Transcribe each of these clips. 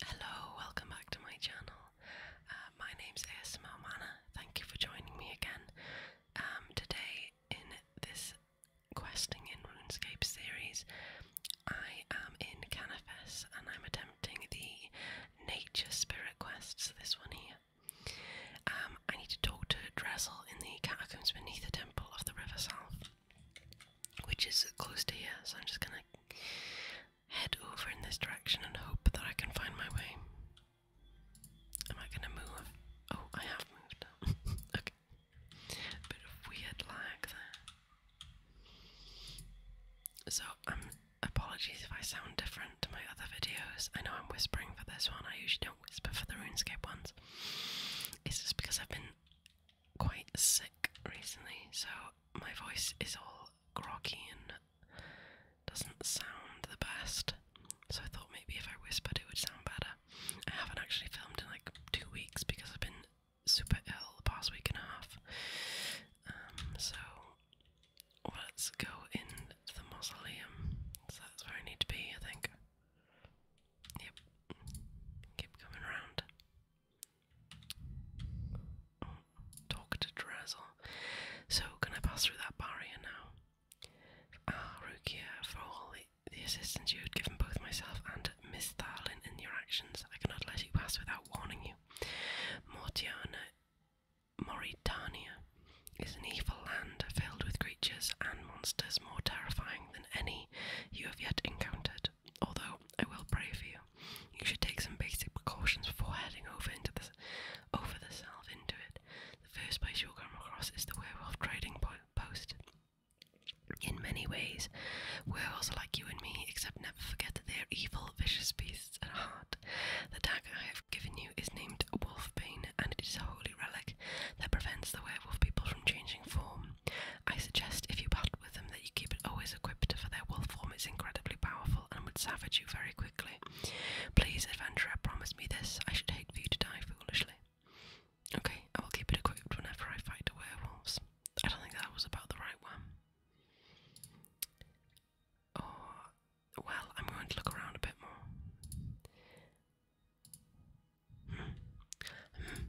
Hello, welcome back to my channel. Uh, my name's ASMR Mana. Thank you for joining me again. Um, today, in this questing in RuneScape series, I am in Canifes and I'm attempting the nature spirit quests. this one here. Um, I need to talk to Dressel in the catacombs beneath the temple of the River South which is close to here, so I'm just gonna head over in this direction and hope that I can find my way. Am I gonna move? Oh, I have moved. okay. A bit of weird lag there. So, um, apologies if I sound different to my other videos. I know I'm whispering for this one, I usually don't whisper for the RuneScape ones. It's just because I've been quite sick recently, so my voice is all groggy and doesn't sound the best. So I thought maybe if I whispered, it would sound better. I haven't actually filmed in like two weeks because I've been super ill the past week and a half. Um, so let's go in the mausoleum. So that's where I need to be, I think. Yep. Keep coming around. Talk to So, can I pass through that barrier now? Ah, Rukia, for all the, assistance you had given both myself and Miss Tharlin in your actions, I cannot let you pass without warning you. Mortiana, Mauritania is an evil land filled with creatures and monsters more terrifying than any you have yet encountered although I will pray for you. You should take some basic precautions before heading over into the over the south into it. The first place you'll come across is the werewolf trading post. In many ways, werewolves are like you and me, except never forget that they are evil, vicious beasts at heart. The dagger I have given you is named Wolfbane, and it is a holy relic that prevents the werewolf people from changing form. I suggest if you battle with them that you keep it always equipped, for their wolf form is incredibly powerful and would savage you very quickly. Please, adventurer, promise me this. I should hate for you to die foolishly. Okay, I will keep it equipped whenever I fight the werewolves. I don't think that was about the right one. Or, oh, well, I'm going to look around a bit more. Hmm. Hmm.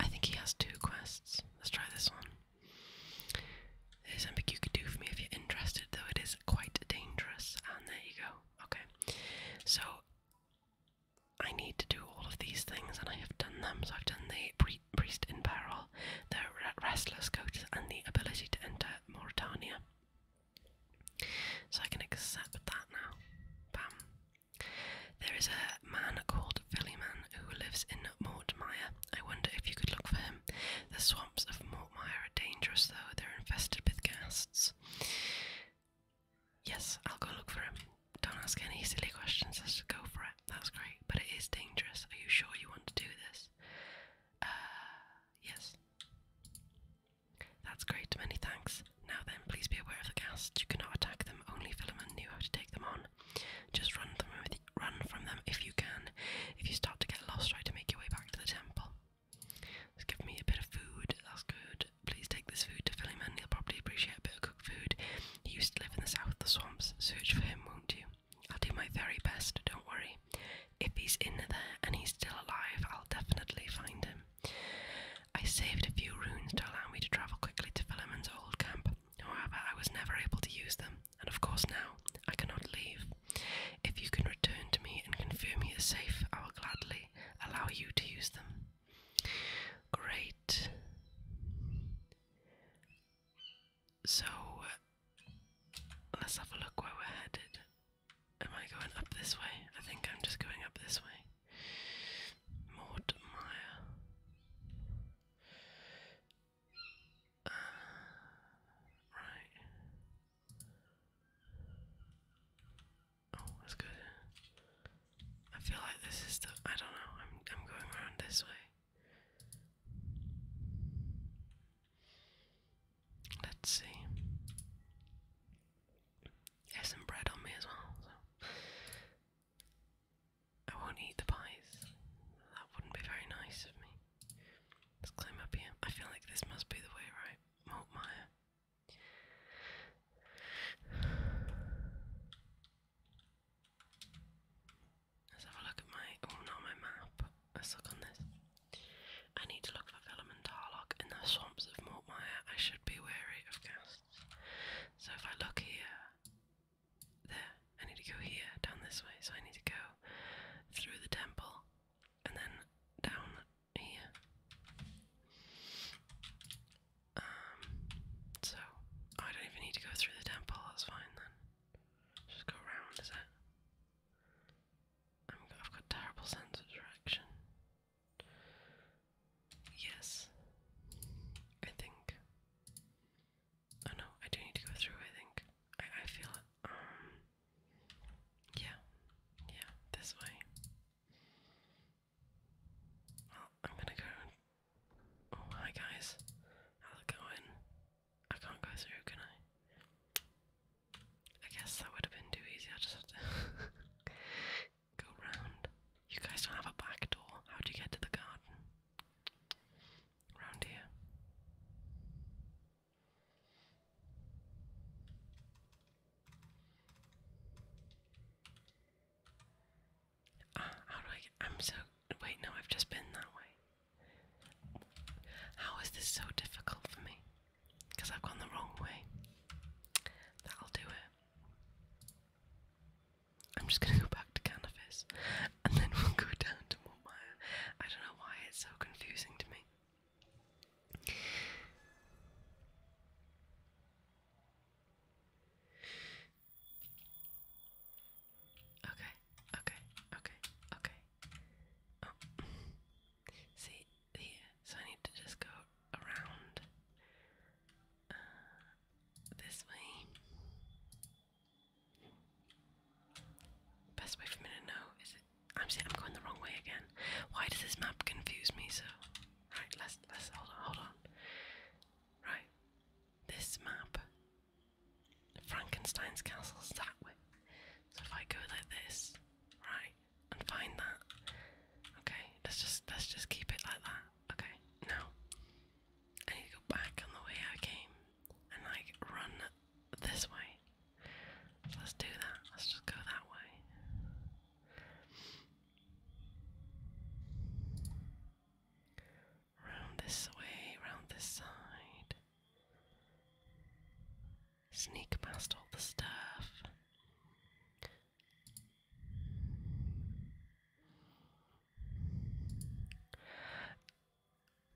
I think he has two quests. Let's try this one. There's something you could do for me if you're interested, though it is quite dangerous. And there you go. Okay. So I need to do all of these things, and I have done them. So I've done the priest in peril, the restless coach, and the ability to enter Mauritania. So I can accept that now. Bam. There is a man called Fillyman who lives in Mortmire. I wonder if you could look for him. The swamps of Mortmire are dangerous, though. They're infested with ghasts. Yes, I'll go look for him. Don't ask any silly questions, just go for it. That's great, but it is dangerous. Are you sure you want to do this? Uh, yes. That's great, many thanks. Now then, please be aware of the ghasts. You cannot attack them, only Philemon knew how to take them on. Just run them run from them if you can. If you start to get lost, try to make your way back to the temple. Just give me a bit of food. That's good. Please take this food to Philemon. He'll probably appreciate a bit of cooked food. He used to live in the south of the swamps. Search for him, won't you? I'll do my very best. Don't worry. If he's in there and he's still alive, I'll definitely find him. I saved a few runes to allow me to travel quickly to Philemon's old camp. However, I was never able to use them, and of course now I cannot leave. If you can return to me and confirm you are safe, I will gladly allow you to use them. Great. So let's have a look where we're headed. Am I going up this way? I think I'm just going up this way. Mortmire right. Oh, that's good. I feel like this is the I don't know, I'm I'm going around this way. Let's see. There's some bread on me as well, I won't eat the pies. That wouldn't be very nice of me. Let's climb up here. I feel like this must be the way, right? Maltmire. Let's have a look at my oh not my map. Let's look on this. I need to look for Villum in the swamps of Mortmire. I should be wary of ghosts. So if I look here there. I need to go here, down this way. So I need to go through the temple and then down here. Um, so I don't even need to go through the temple. That's fine then. Just go around, is it? I've got terrible sense of direction. Yes, I think. Oh no, I do need to go through, I think. I, I feel it. Um, yeah, yeah, this way. Well, I'm gonna go. Oh, hi guys. I'll go in. I can't go through, can I? I guess that would have been too easy. I just have to go round. You guys don't have a back door. How do you get to the garden? around here. Ah, how do I I'm so, wait, no, I've just been that way. How is this so difficult for me? Because I've gone the wrong way. That'll do it. I'm just gonna go back to Canavis and then we'll go down to Mortmire. I don't know why it's so confusing to me. Okay, okay, okay, okay. Oh. See, here, so I need to just go around uh, this way. Best way for me to know is it. I'm saying I'm going the wrong way again. Why does this map confuse me so? Right, let's let's hold on, hold on. Right, this map. Frankenstein's castle's that way. So if I go like this, right, and find that. Okay, let's just let's just keep it like that. Okay, now I need to go back on the way I came and like run this way. let's do that. Let's just go that way. Round this way, round this side. Sneak past all the stuff.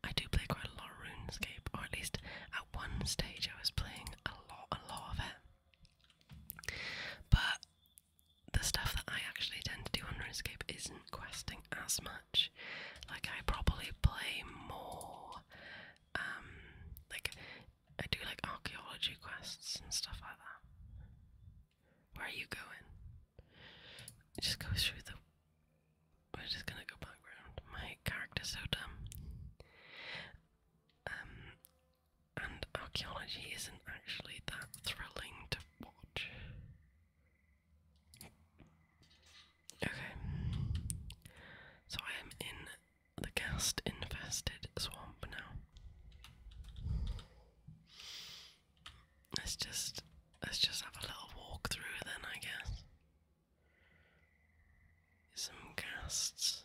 I do play quite a lot of RuneScape, or at least at one stage I was playing a lot, a lot of it. But the stuff that I actually tend to do on RuneScape isn't questing as much. Like I probably play more, um, like I do like archaeology quests and stuff like that. Where are you going? just goes through the. We're just gonna go background. My character's so dumb. Um, and archaeology isn't actually that thrilling to watch. Okay. So I am in the ghast infested swamp now. Let's just let's just have a little walk through then, I guess. Some casts.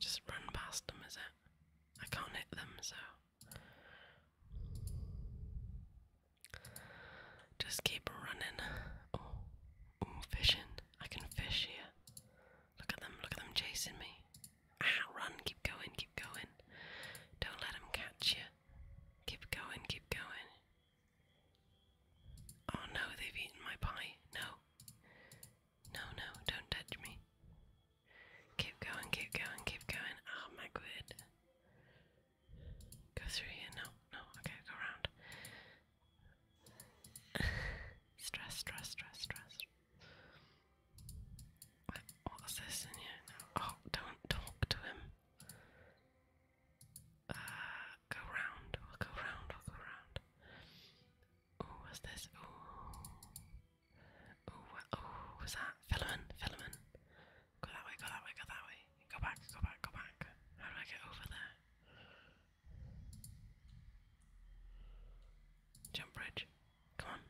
Just run past them, is it? I can't hit them, so just keep running. oh, fishing! I can fish here. Look at them! Look at them chasing me. Ah, run, keep going, keep going. Don't let them catch you. Keep going, keep going. Oh no, they've eaten my pie. No. No, no, don't touch me. Keep going, keep going, keep going. Oh my good. Go through here. No, no, okay, go around. stress, stress, stress, stress. Wait, what is this in here Oh, don't talk to him. Uh, go round, go round, go round. Oh, what's this? Oh, oh, oh, what's that? Filament, filament. Go that way, go that way, go that way. Go back, go back, go back. How do I get over there? Jump bridge. Come on.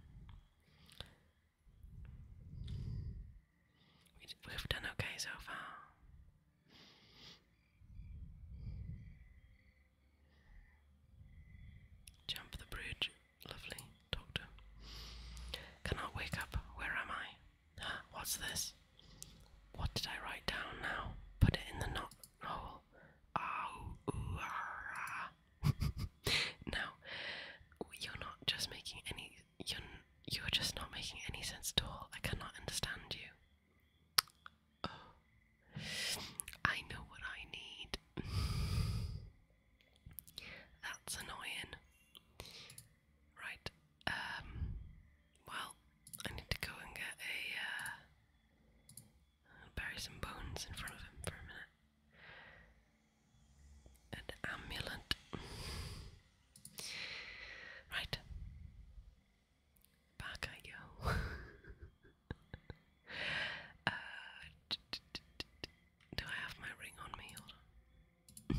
We have done okay so far. Jump the bridge, lovely doctor. Cannot wake up. Where am I? what's this? What did I write down now? Put it in the knot hole. Oh, ooh, ah. now, you're not just making any. You're, you're just not making any sense at all. I cannot understand you. Oh. I know what I need. That's annoying. Right. Um. Well, I need to go and get a. Uh, bury some bones in front of him for a minute. An amulet. Right. Back I go. Uh, do I have my ring on me? I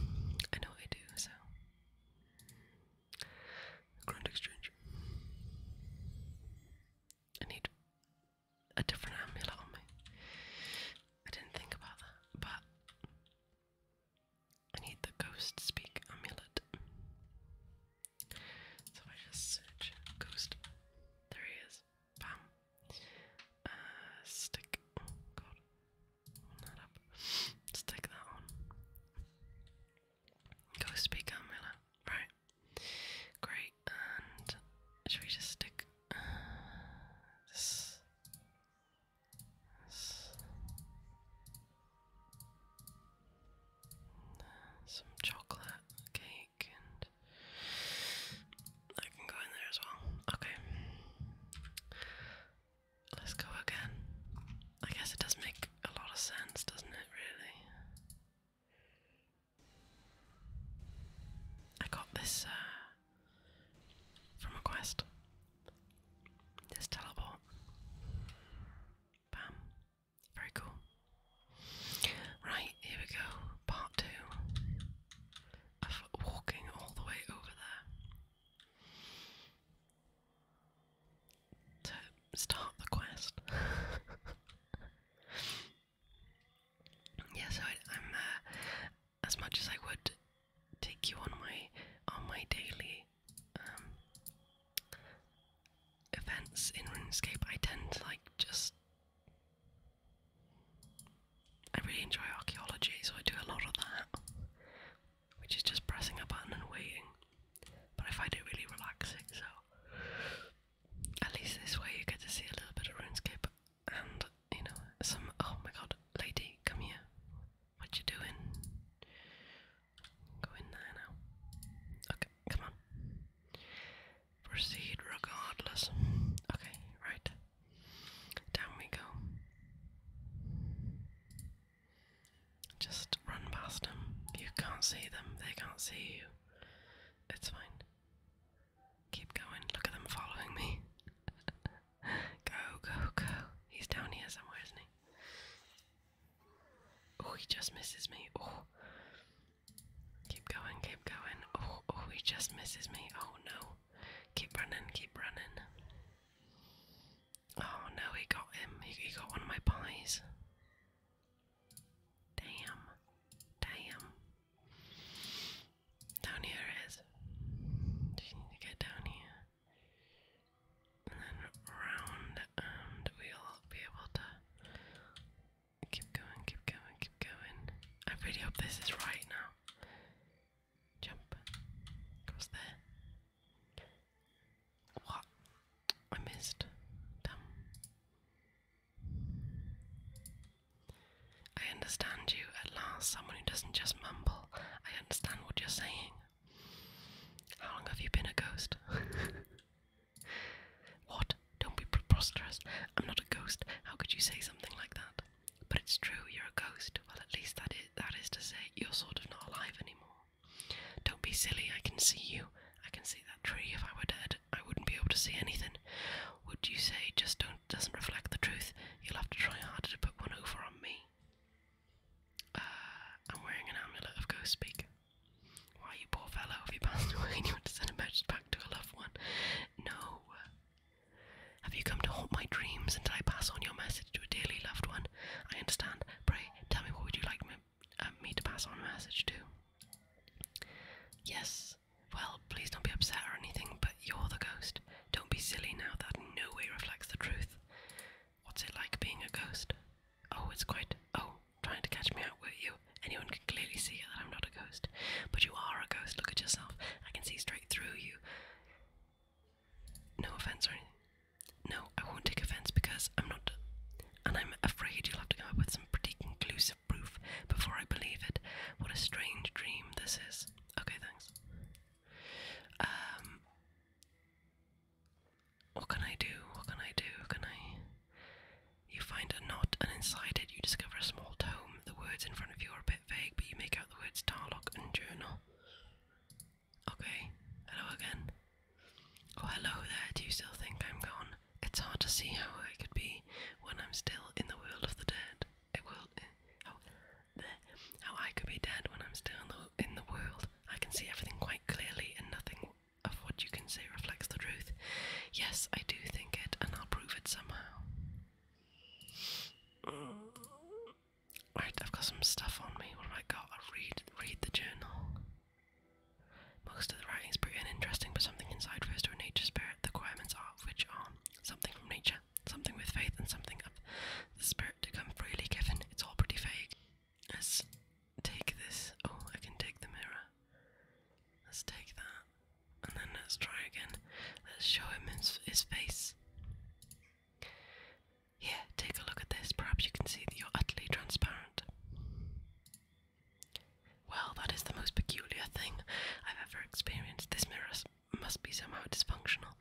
know I do, so. Grand exchange. I need a different amulet on me. I didn't think about that, but I need the ghost speak amulet. So I just search ghost, there he is. Bam. Uh, stick. god. Not up. Stick that on. Ghost speak amulet. Right. Great should we just stick uh, some chocolate cake and I can go in there as well. Okay. Let's go again. I guess it does make a lot of sense, doesn't it, really? I got this uh, from a quest. This teleport. Bam. Very cool. Right, here we go. Part two of walking all the way over there to start the quest. yeah, I, am as much as I would take you on my on my daily um, events in RuneScape, I tend to like just I really enjoy archaeology, so I do a lot of that, which is just pressing a button and waiting. But I find it really relaxing, so at least this way you get to see a little bit of RuneScape and you know some oh my god lady come here what you doing go in there now okay come on proceed regardless okay right down we go just run past them you can't see them they can't see you it's fine Keep going. Look at them following me. go, go, go. He's down here somewhere, isn't he? Oh, he just misses me. Oh. Keep going, keep going. Oh, oh, he just misses me. Oh no. Keep running, keep running. Oh no, he got him. He, got one of my pies. Damn. Damn. Down here is. need to get down here. And then round, and we'll be able to keep going, keep going, keep going. I really hope this is right now. Jump. Across there. What? I missed. Damn. I understand you at last, someone who doesn't just mumble. I understand what you're saying. How long have you been a ghost? what? Don't be preposterous. I'm not a ghost. How could you say something like that? But it's true, you're a ghost. Well, at least that is, that is to say, you're sort of not alive anymore. Don't be silly, I can see you. I can see that tree. If I were dead, I wouldn't be able to see anything. Would you say just don't doesn't reflect the truth. You'll have to try harder to put one over on me. Uh, I'm wearing an amulet of ghost speak. Why, you poor fellow, have you passed away you want to send a message back to a loved one? No. Have you come to haunt my dreams until I pass on your message to a dearly loved one? I understand. Pray, tell me what would you like me uh, to pass on a message to? Yes, well, please don't be upset or anything, but you're the ghost. Don't be silly now, that in no way reflects the truth. What's it like being a ghost? Oh, it's quite. Oh, trying to catch me out, were you? Anyone can clearly see that I'm not a ghost. But you are a ghost, look at yourself. I can see straight through you. No offense or anything. No, I won't take offense because I'm not. And I'm afraid you'll have to come up with some pretty conclusive proof before I believe it. What a strange dream this is. Okay, thanks. Um, what can I do? What can I do? Can I? You find a knot, and inside it you discover a small tome. The words in front of you are a bit vague, but you make out the words Tarlock and Journal. Okay, hello again. Oh, hello there. Do you still think I'm gone? It's hard to see how I could be when I'm still in the world of the dead a world, eh, how, I could be dead when I'm still in the, in the world. I can see everything quite clearly, and nothing of what you can say reflects the truth. Yes, I do think it, and I'll prove it somehow. Right, I've got some stuff on me. What have I got? i read, read the journal. Most of the writing is pretty uninteresting, but something inside refers to a nature spirit. The requirements are which are something from nature something with faith and something of the spirit to come freely given. It's all pretty fake. Let's take this. Oh, I can take the mirror. Let's take that. And then let's try again. Let's show him his, face. Here, take a look at this. Perhaps you can see that you're utterly transparent. Well, that is the most peculiar thing I've ever experienced. This mirror must be somehow dysfunctional.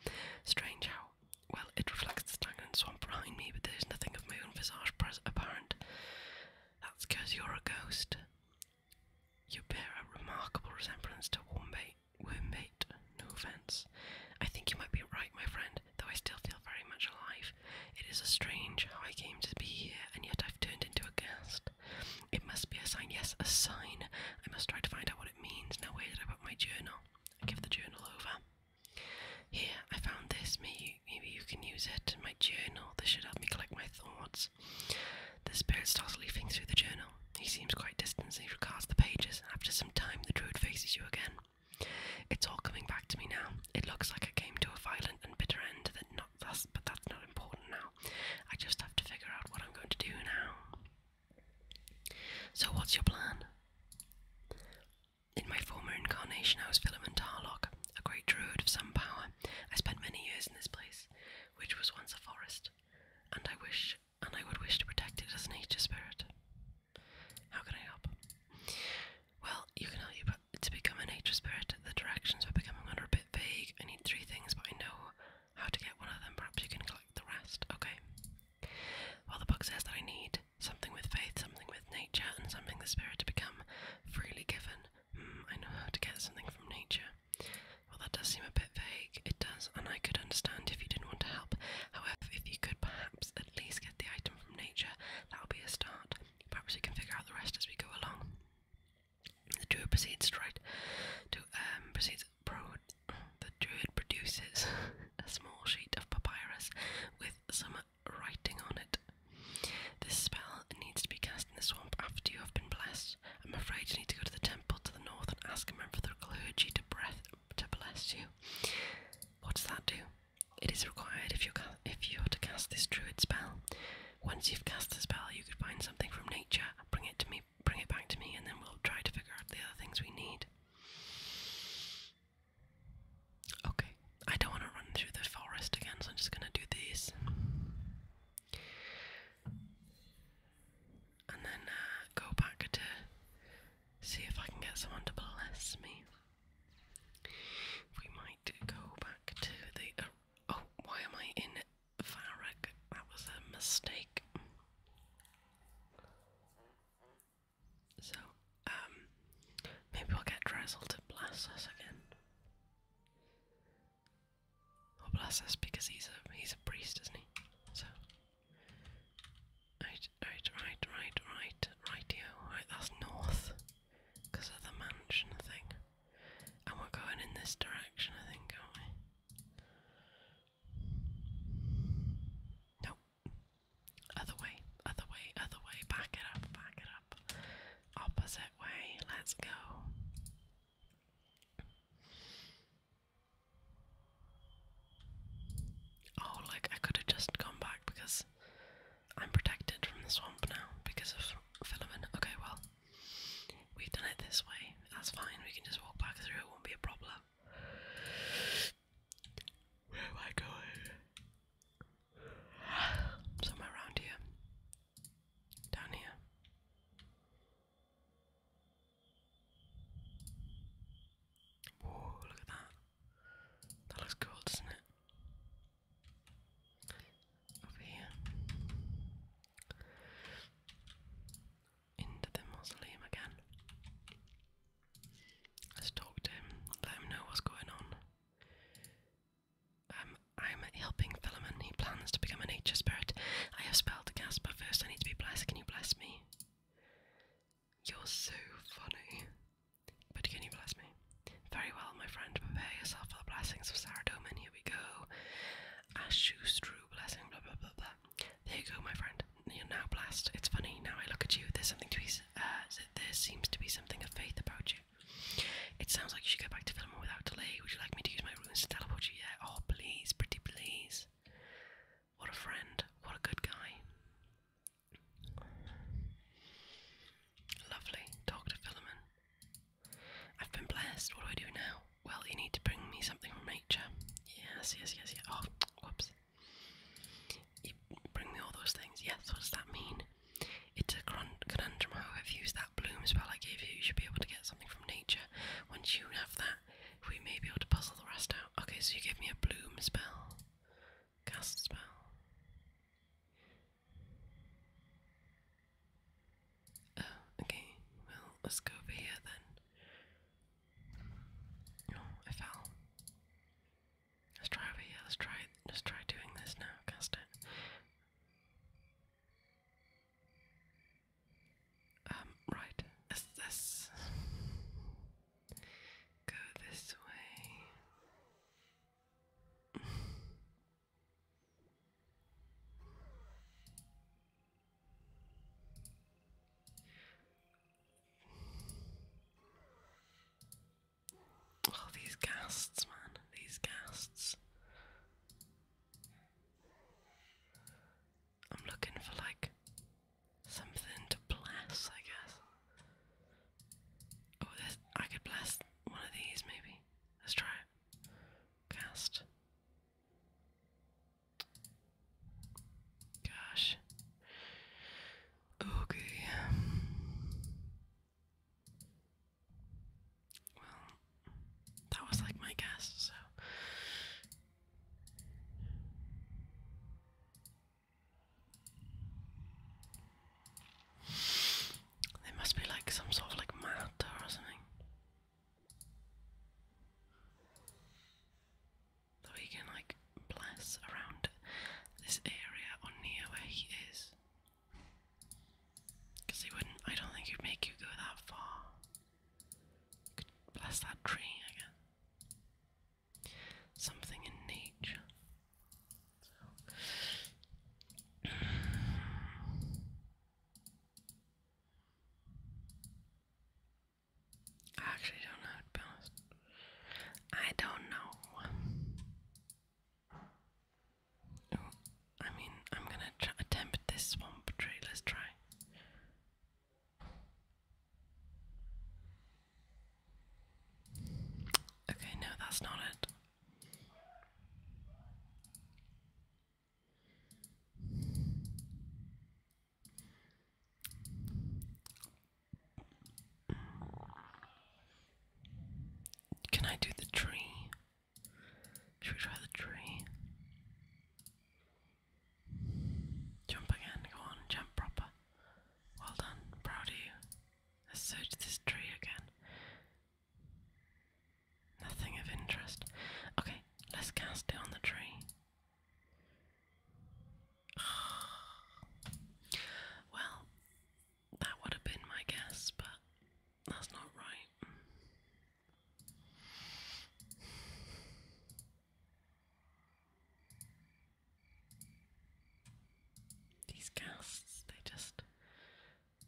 Strange how. Well, it reflects the stagnant swamp behind me, but there's nothing of my own visage apparent. That's because you're a ghost. You bear a remarkable resemblance to Wormmate. Wormmate, no offense. I think you might be right, my friend, though I still feel very much alive. It is a strange how I came to be here, and yet I've turned into a ghost. It must be a sign. Yes, a sign. I must try to find out what it means. No way that I put my journal? I give the journal over. Here, I found this. Maybe, maybe you can use it in my journal. This should help me collect my thoughts. The spirit starts leafing through the journal. He seems quite distant as he regards the pages. After some time, the druid faces you again. It's all coming back to me now. It looks like I came to a violent and bitter end. That not but that's not important now. I just have to figure out what I'm going to do now. So, what's your plan? In my former incarnation, I was Philemon Tarlock, a great druid of some power. I spent many years in this place, which was once a forest, and I wish, and I would wish to protect it as a nature spirit. How can I help? Well, you can help you, but to become a nature spirit, the directions for becoming are a bit vague. I need three things, but I know how to get one of them. Perhaps you can collect the rest. Okay. Well, the book says that I need something with faith, something with nature, and something the spirit to become freely given. Hmm, I know how to get something from nature. Well, that does seem a bit vague. It does, and I could understand if you didn't want to help. However, if you could perhaps at least get the item from nature, that will be a start. Perhaps we can figure out the rest as we go along. The druid proceeds to to um, proceeds the druid produces a small sheet of papyrus with some writing on it. This spell needs to be cast in the swamp after you have been blessed. I'm afraid you need to go to the temple to the north and ask a man for the clergy to breath to bless you. What does that do? It is required if you if you are to cast this druid spell. Once you've cast the spell, you could find something from nature, bring it to me bring it back to me, and then we'll try to figure out the other things we need. Okay, I don't want to run through the forest again, so I'm just going to do these. And then uh, go back to see if I can get someone to bless me. We might go back to the. oh, why am I in Farag, that was a mistake. So, um, maybe we'll get Drizzle to bless us again. Or bless us because he's a he's a priest, isn't he? So Right, right, right, right, right, right, that's north. Because of the mansion thing. And we're going in this direction, I think, aren't we? No. Other way, other way, other way. Back it up, back it up. Opposite way. Let's go. Oh, like I could have just gone back because I'm protected from the swamp now because of filament. Okay, well, We've done it this way. That's fine. We can just walk back through. It won't be a problem. Where am I going? Somewhere around here. Down here. Whoa, look at that. That looks cool, doesn't it? Over here into the mausoleum again. Let's talk to him, let him know what's going on. Um, I'm helping Philemon, he plans to become a nature spirit. I have spelled the first I need to be blessed. Can you bless me? You're so funny. But can you bless me? Very well, my friend, prepare yourself for the blessings of Saradomin. Here we go. Ashustru blessing, blah blah blah. There you go, my friend. You're now blessed. It's funny now. I look at you. There's something to be. Uh, there seems to be something of faith about you. It sounds like you should go back to Vilma without delay. Would you like me to use my runes to teleport you? Yeah. Oh, please, pretty please. What a friend. What a good guy. Lovely. Doctor to I've been blessed. What do I do now? Well, you need to bring me something from nature. Yes, yes, yes, yes. Oh, whoops. You bring me all those things. Yes, what does that mean? It's a conundrum I've used that bloom spell I gave you. You should be able to get something from nature. Once you have that, we may be able to puzzle the rest out. Okay, so you gave me a bloom spell. Cast spell. Oh, okay. Well, let's go over here then. Oh, I fell. Let's try over here. Let's try. let try doing this now. Cast it. Um. Right. Let's. go this way. Oh, these ghasts, man. These ghasts. I'm looking for like something to bless, I guess. Oh, this, I could bless one of these maybe. Let's try it. Cast. Gosh. Okay. Well, that was like my guess, so. There must be like some sort of like matter or something. So we can like bless around this area or near where he is. Cause he wouldn't I don't think he'd make you go that far. bless that tree again. Something in nature. I actually don't know, I don't know. I mean, I'm gonna try attempt this swamp tree. Let's try. Okay, no, that's not it. Can I do the tree? Should we try the tree? Jump again, go on, jump proper. Well done, proud of you. Let's search this tree again. Nothing of interest. Okay, let's cast it on the tree. well, that would have been my guess, but that's not right. These casts, they just.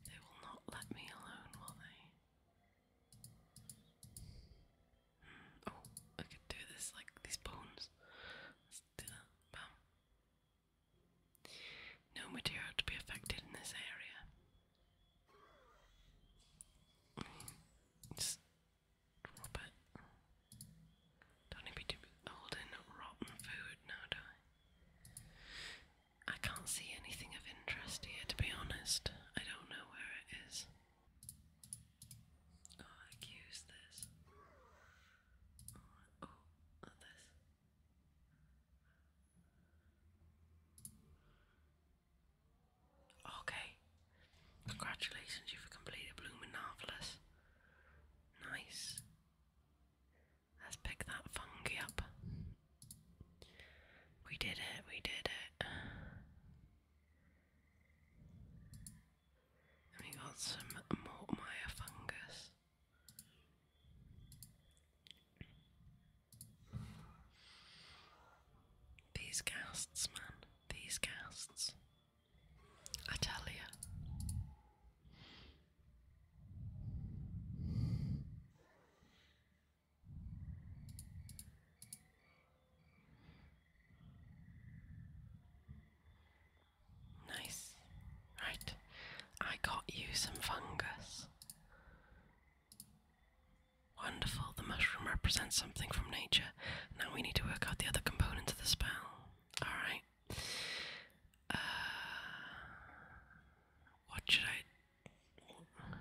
They will not let me alone, will they? Oh, I could do this like these bones. Let's do that. No material to be affected in this area. just drop it. Don't need to be holding rotten food now, do I? I can't see anything of interest here, to be honest. I don't know where it is. I use this. Oh, this. Okay. Congratulations, you've completed Blooming Marvelous. Nice. Let's pick that fungi up. We did it, we did it we got some Mortmire fungus. These casts, man, these casts. I tell you. Nice. Right, I got you some fungus. Wonderful, the mushroom represents something from nature. Now we need to work out the other components of the spell. Alright. Uh, what should I.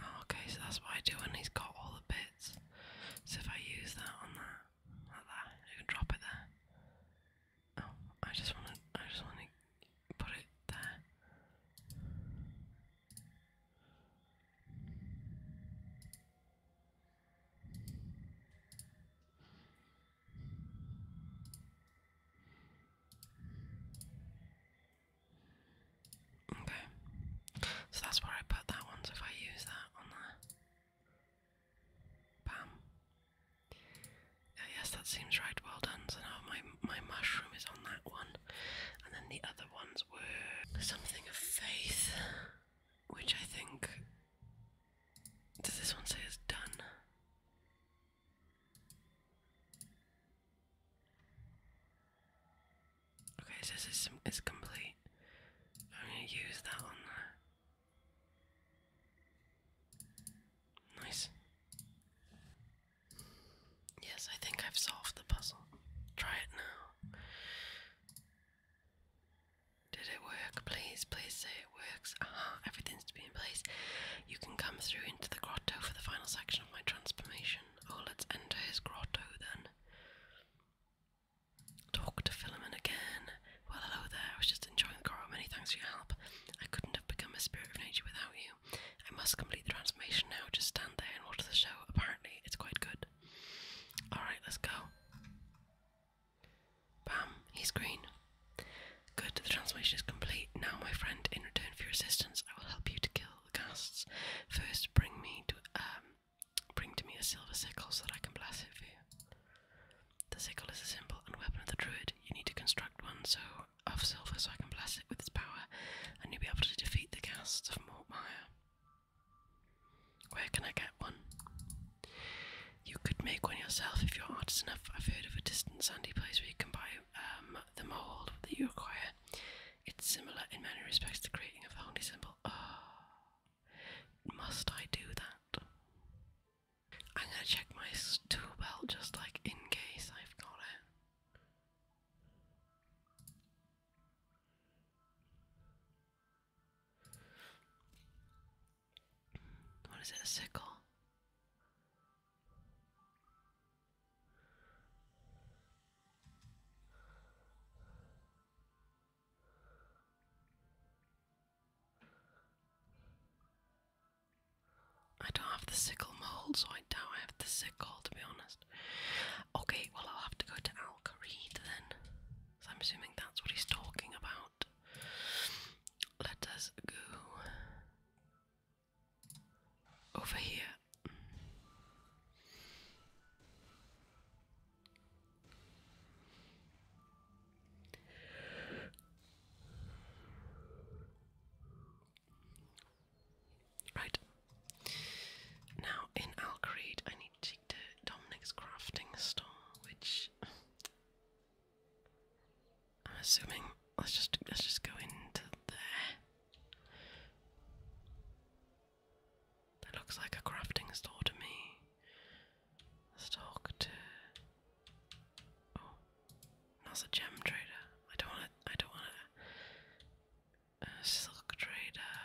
Oh, okay, so that's what I do when he's got all the bits. So if I use that on that, that, I can drop it there. Oh, I just want to, I just want to put it there. Okay, so that's where I put that one. if I use that on there, bam. yes, that seems right. Well done. So now my my mushroom is on that one, and then the other ones were something of faith, which I think does this one say it's done? Okay, this is is complete. I'm gonna use that on Nice. Yes, I think I've solved the puzzle. Try it now. Did it work? Please, please say it works. Aha, uh-huh, everything's to be in place. You can come through into the grotto for the final section of my transformation. Oh, let's enter his grotto then. Talk to Philemon again. Well, hello there. I was just enjoying the grotto. Many thanks for your help. I couldn't have become a spirit of nature without you. I must complete the transformation now. Just stand there and watch the show. Apparently, it's quite good. Alright, let's go. Bam, he's green. Good, the transformation is complete. Now, my friend, in return for your assistance, I will help you to kill the ghasts. First, bring me to um, bring to me a silver sickle so that I can bless it for you. The sickle is a symbol and weapon of the druid. You need to construct one so of silver so I can bless it with its power, and you'll be able to defeat the ghasts of Mortmire. Where can I get one? You could make one yourself if you're artist enough. I've heard of a distant sandy place where you can buy um, the mold that you require. It's similar in many respects to creating a holy symbol. Oh, must I do that? I'm gonna check my tool belt just like in case I've got it. What is it? A sickle? I don't have the sickle mold, so I doubt I have the sickle to be honest. Okay, well, I'll have to go to Al Kareed then. So I'm assuming that's what he's talking about. Let us go over here. Right. Now in Alcrete I need to take to Dominic's crafting store, which I'm assuming let's just let's just go into there. That looks like a crafting store to me. Let's talk to Oh, that's a gem trader. I don't want to I don't want to uh, silk trader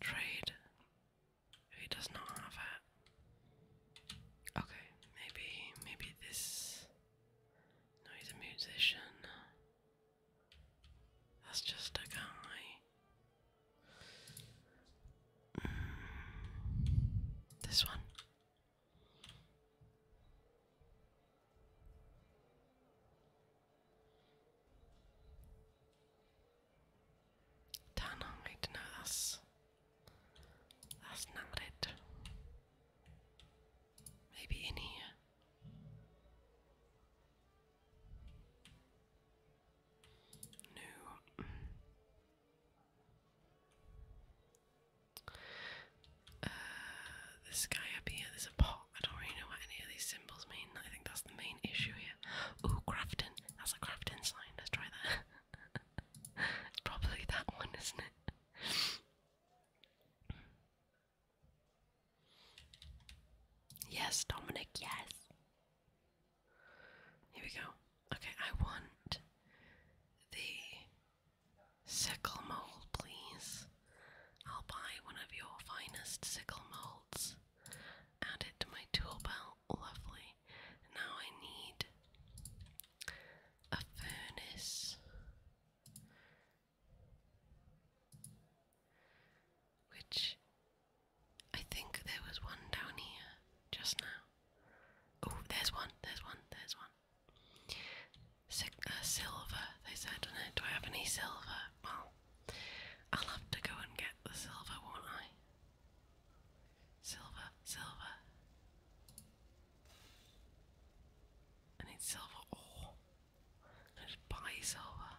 trade. He does not have it. Okay, maybe maybe this No, he's a musician. That's just a guy. Mm, this one. Dynamite, no, that's, that's not it. Maybe in here. No. Uh, this guy up here, there's a pot. I don't really know what any of these symbols mean. I think that's the main issue here here. Ooh, That's a Crafton sign. Let's try that. it's probably that one, isn't it? yes, Dominic, yes. Here we go. Okay, I want the sickle mold, please. I'll buy one of your finest sickle molds. Add it to my tool belt. Lovely. Now I need a furnace. Which I think there was one down here just now. Oh, there's one, there's one, there's one. Uh, silver, they said, Do I have any silver? Well, I'll have to go and get the silver, won't I? Silver, silver. I need silver ore. Oh, I just buy silver.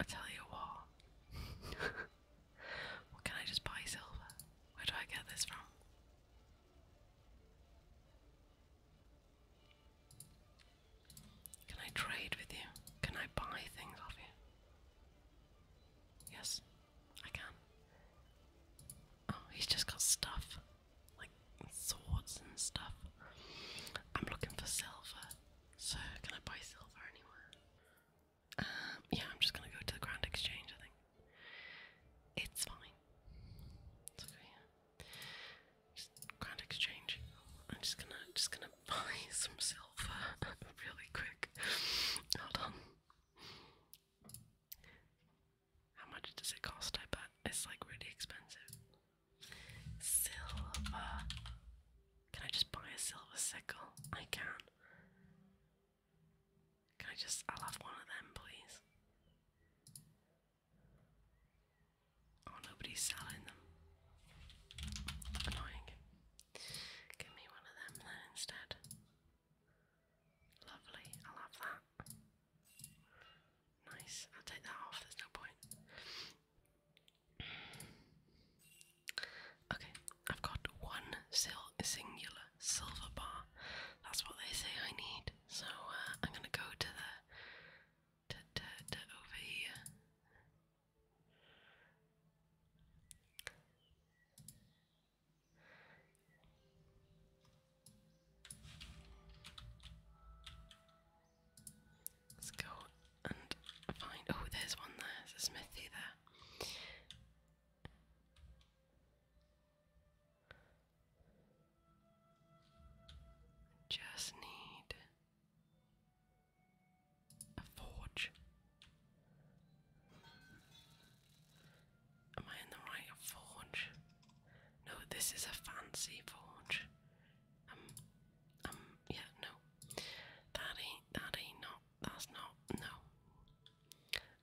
I tell you what. what can I just buy silver? Where do I get this from? Can I trade with you? Can I buy things off you? Yes, I can. Oh, he's just got stuff. Like swords and stuff. I'm looking for silver. So, can I buy silver anywhere? Um, yeah, I'm just gonna go to the Grand Exchange, I think. It's fine. It's okay, Grand exchange. I'm just gonna just gonna buy some silver really quick. Hold on. How much does it cost? I bet it's like really expensive. Silver. Can I just buy a silver sickle? I can. Can I just? I'll have one of them, please. Oh, nobody's selling them. Annoying. Give me one of them then instead. Lovely, I'll that. Nice, I'll take that off, there's no point. Okay, I've got one sil singular silver bar. That's what they say I need. So uh, I'm gonna go to the to, to, to over here Let's go and find. Oh, there's one there. There's a smithy there. Just need a forge. Am I in the right forge? No, this is a fancy forge. Um, um, yeah, no. That ain't, that ain't not, that's not, no.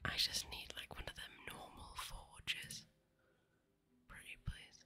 I just need like one of them normal forges. Pretty please.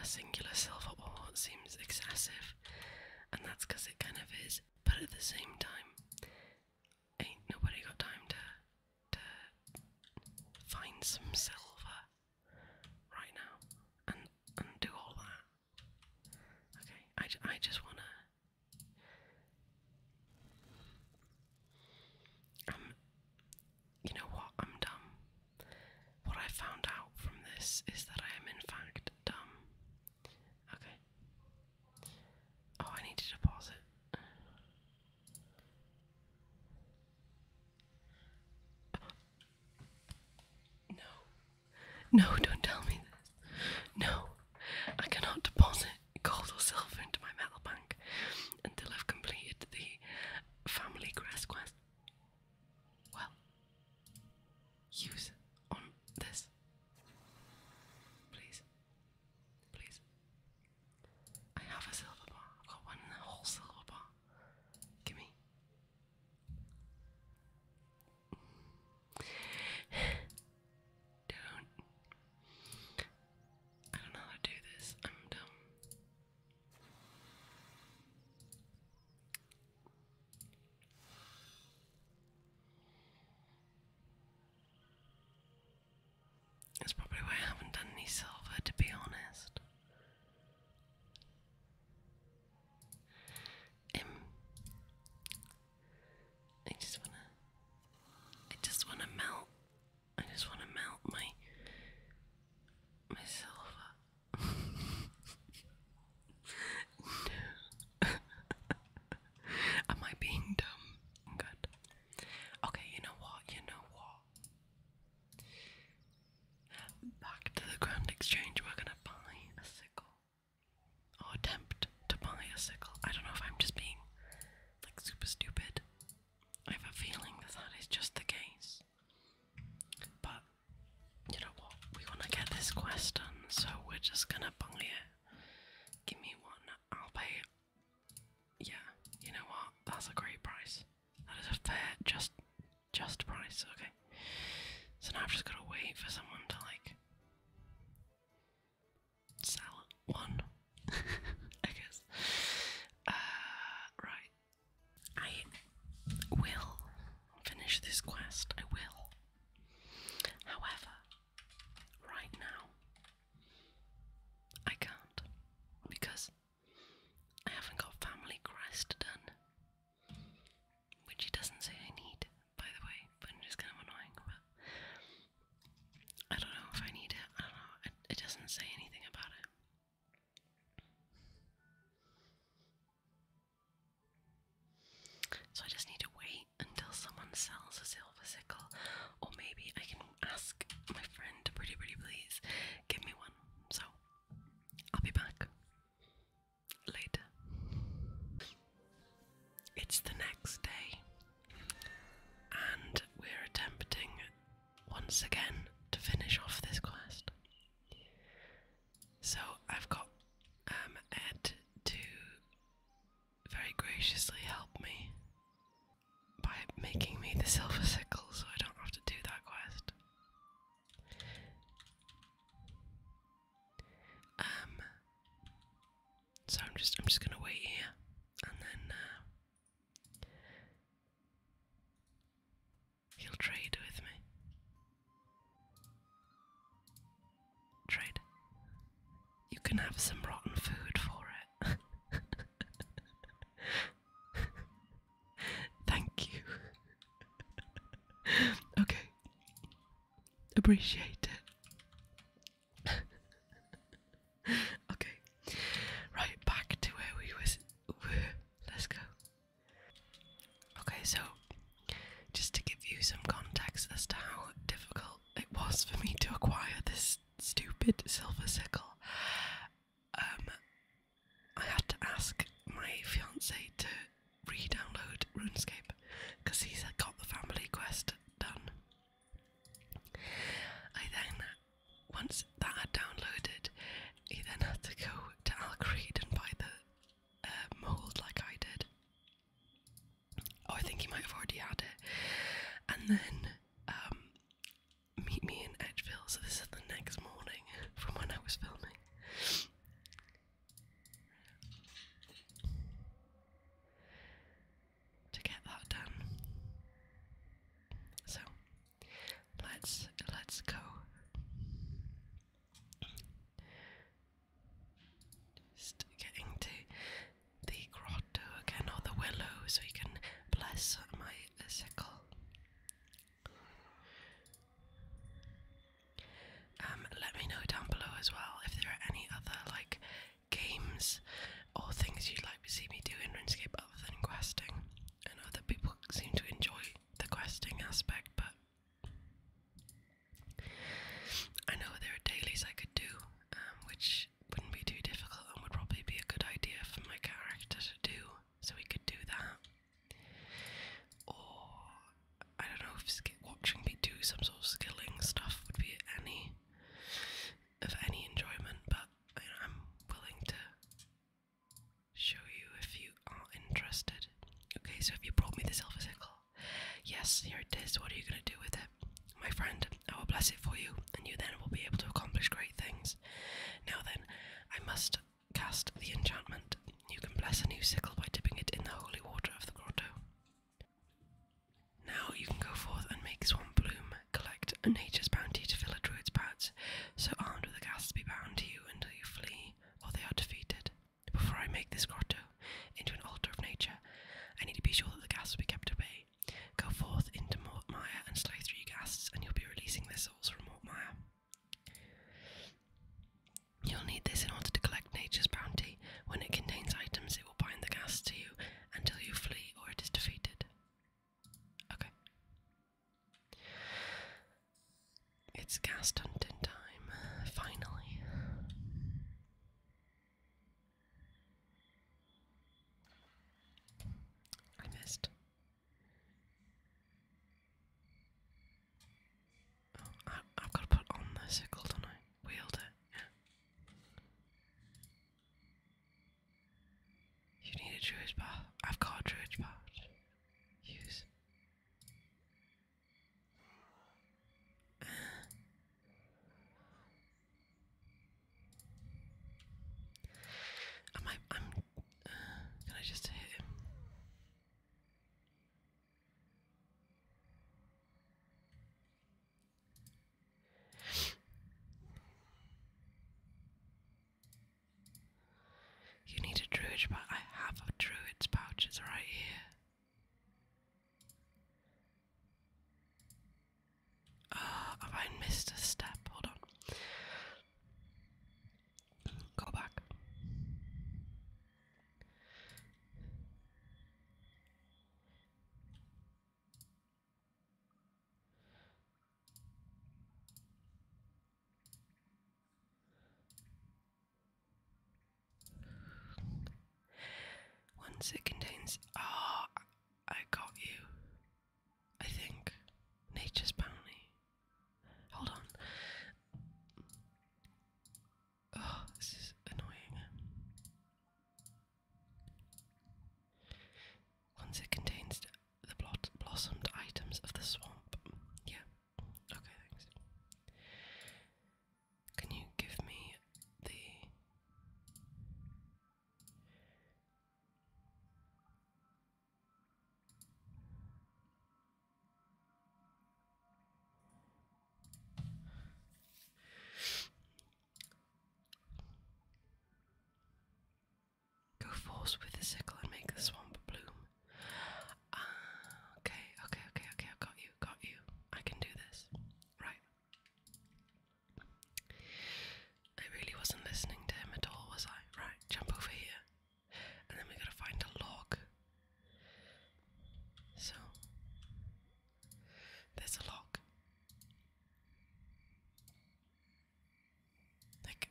a singular silver ore seems excessive, and that's because it kind of is, but at the same time, ain't nobody got time to, to find some silver right now and, and do all that. Okay, I, I just wanna. Um, you know what? I'm dumb. What I found out from this is that I am, in fact, dumb. Okay. Oh, I need to deposit. No. No, don't tell me this. No. I cannot deposit gold or silver into my metal bank until I've completed the family crest quest well use on this. Please. Please. I have a silver bar. I've got one whole silver bar. Give me. Don't. I don't know how to do this. I'm dumb. That's probably why I haven't done any silver, to be honest. Um, I just wanna, I just wanna melt, I just wanna melt my, my no. Am I being dumb? Good. Okay, you know what? You know what? Back to the Grand Exchange, we're gonna buy a sickle. Or attempt to buy a sickle. I don't know if I'm just being like super stupid. I have a feeling that that is just the case. But you know what? We want to get this quest done, so we're just gonna buy it. Give me one, I'll pay Yeah, you know what? That's a great price. That is a fair, just, just price. Okay. So now I've just gotta wait for someone to like sell one, I guess. Uh, right. I will finish this quest. I will. However, right now, I can't because I haven't got family crest done. Which he doesn't say I need, by the way, but it's kind of annoying. I don't know if I need it. I don't know. it doesn't say anything about it. So I just need to wait until someone sells a silver sickle, or maybe I can ask my friend pretty pretty please give me one. So I'll be back later. It's the next day, and we're attempting once again to finish off this quest. So I've got um, Ed to very graciously help me by making me the silver sickle so I don't have to do that quest. Um so I'm just I'm just gonna wait here and then uh, He'll trade with me. Trade. You can have some rotten food for it. Thank you. okay. Appreciate it. okay. Right, back to where we was Let's go. Okay, so just to give you some context as to how difficult it was for me to acquire this stupid silver sickle, um, I had to ask my fiance to re-download RuneScape because he's got the family quest done. I then, once that had downloaded, he then had to go to Alcreed and buy the uh, mold like I did. Oh, I think he might have already had it. And then um, meet me in Edgeville. So this is the next morning from when I was filming. To get that done, so let's let's go. Just getting to the grotto again, or the willow, so you can bless my sickle. Um, let me know down below as well if there are any other like games or things you'd like to see me do in RuneScape other than questing. I know that people seem to enjoy the questing aspect, but I know there are dailies I could do, um, which wouldn't be too difficult and would probably be a good idea for my character to do, so we could do that. Or I don't know if watching me do some sort of skilling stuff would be any of any enjoyment, but I'm willing to show you if you are interested. Okay, so if you brought me the silver sickle, yes, here it is. What are you going to do with it? My friend, I will bless it for you, and you then will be able to accomplish great things. Now then, I must cast the enchantment. You can bless a new sickle by dipping it in the holy water of the grotto. Now you can go forth and make Swan Bloom collect nature's bounty to fill a druid's pouch. So armed with a be bound to you until you flee or they are defeated. Before I make this grotto into an altar of nature, I need to be sure that the gas will be kept away. Go forth into Mortmire and slay three ghasts, and you'll be releasing their souls from Mortmire. You'll need this in order to collect nature's bounty. When it contains items, it will bind the gas to you until you flee or it is defeated. Okay. It's cast hunting time, finally. I missed. Oh, I, have got to put on the sickle, don't I? Wield it, yeah. You need a druid's path. I've got a druid's path. Use. Am I? I'm. Uh, can I just hit him? You need a druid's pouch. I have a druid's pouches right here. Ah, have I missed a step? Hold on. Go back. Once it contains. Oh, I got you. I think. Nature's bounty. Hold on. Oh, this is annoying. Once it contains the blot blossomed items of the swamp. Yeah. Okay, thanks. Can you give me the Go forth with the sickle and make the swamp bloom okay, okay, okay, okay. i got you, got you. I can do this. Right. I really wasn't listening to him at all, was I? Right, jump over here. And then we gotta find a log. So, there's a log. Like,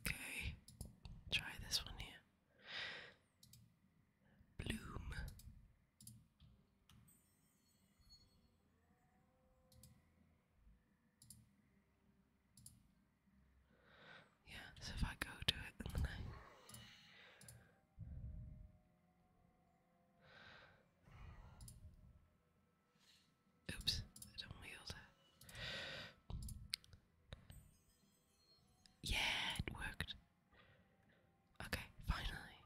Okay, try this one here. Bloom. Yeah, so if I go to it Oops, I don't wield it. Yeah, it worked. Okay, finally.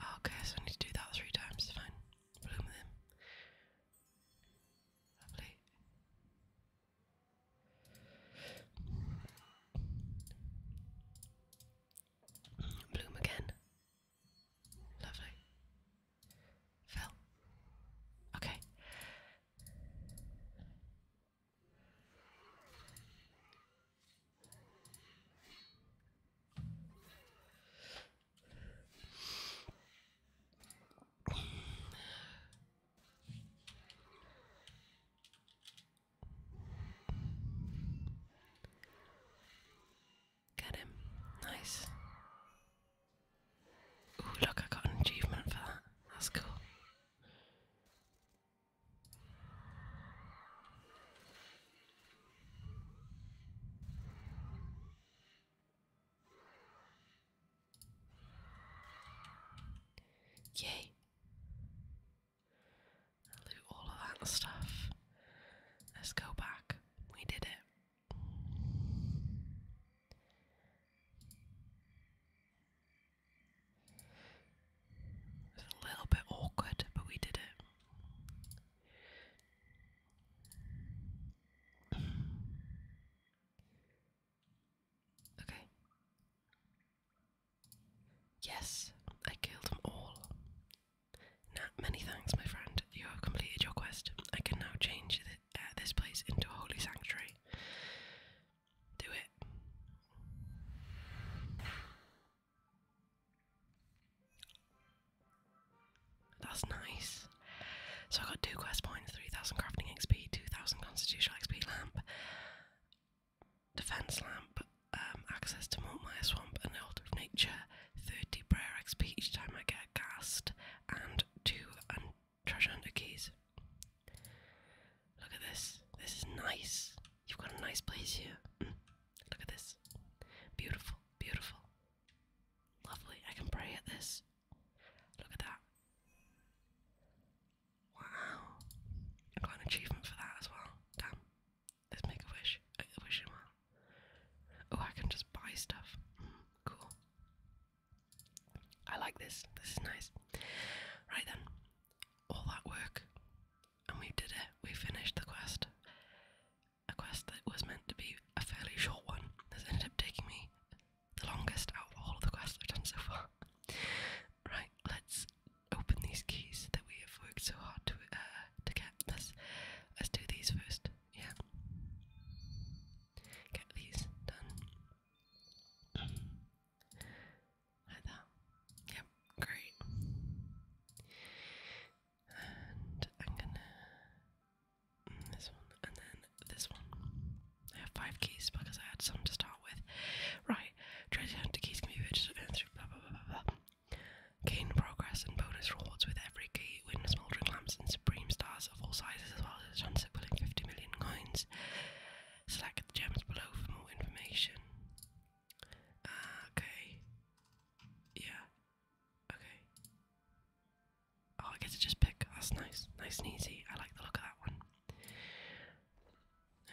Oh, okay, so I need to do that three times. Fine. Bloom them. Lovely. Bloom again. Lovely. Phil. Okay. Get him. Nice. Ooh, look, I got an achievement for that. That's cool. Yay. i all of that stuff. Let's go back. We did it a little bit awkward, but we did it. okay. Yes, I killed them all. Nah, many thanks, my friend. You have completed your quest. I can now change uh, this place into a holy sanctuary. Do it. That's nice. So I got two quest points, 3000 crafting XP, 2000 constitutional XP lamp, defense lamp, um, access to Montmire Swamp and the of Nature, 30 prayer XP each time I get a cast, and 2 un treasure hunter keys. Look at this. This is nice. You've got a nice place here. Mm. Look at this. Beautiful, beautiful. Lovely. I can pray at this. Look at that. Wow. I got an achievement for that as well. Damn. Let's make a wish. I wish him well. Oh, I can just buy stuff. Mm, cool. I like this. This is nice. Right then, all that work, and we did it. We finished the quest. A quest that was meant to be a fairly short one. This ended up taking me the longest out of all the quests I've done so far. right, let's open these keys that we have worked so hard to uh, to get. Let's let's do these first yeah. Get these done. like that. Yep, great. And I'm gonna mm, this one and then this one. I have five keys because I had some to start with. Right, treasure keys can be purchased. Blah blah blah blah blah. Gain progress and bonus rewards with every key. Win smoldering lamps and supreme stars of all sizes, as well as a chance at 50 million coins. Select the gems below for more information. Uh, okay. Yeah. Okay. Oh, I get to just pick. That's nice. Nice and easy. I like the look of that one.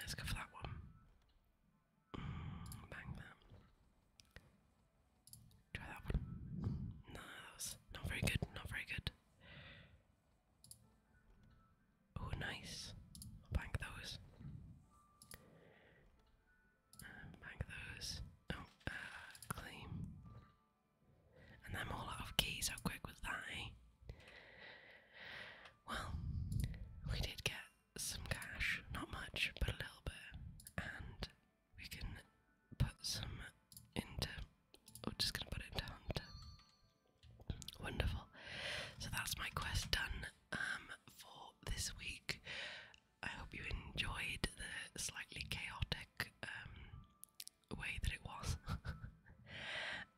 Let's go for that one. Mm, bang that. Try that one. Nah, that was not very good, not very good. Oh, nice. bank those. bank those. Oh, uh, claim. And I'm all out of keys. How quick was that, eh? Well, we did get some cash. Not much, but a little bit. And we can put some into. I'm oh, just gonna put it into Hunter. Wonderful. So that's my quest done um, for this week. I hope you enjoyed the slightly chaotic um, way that it was.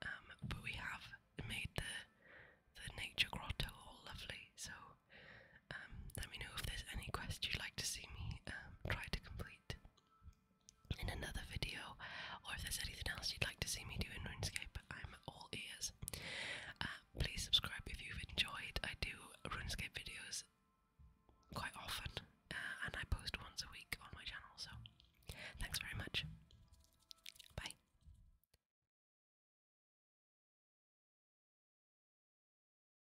Um, but we have made the the nature grotto all lovely. So um, let me know if there's any quests you'd like to see me um, try to complete in another video, or if there's anything else you'd like to see me do in RuneScape, I'm all ears. Uh, please subscribe if you've enjoyed. I do RuneScape videos quite often, uh, and I post once a week on my channel. So, thanks very much. Bye.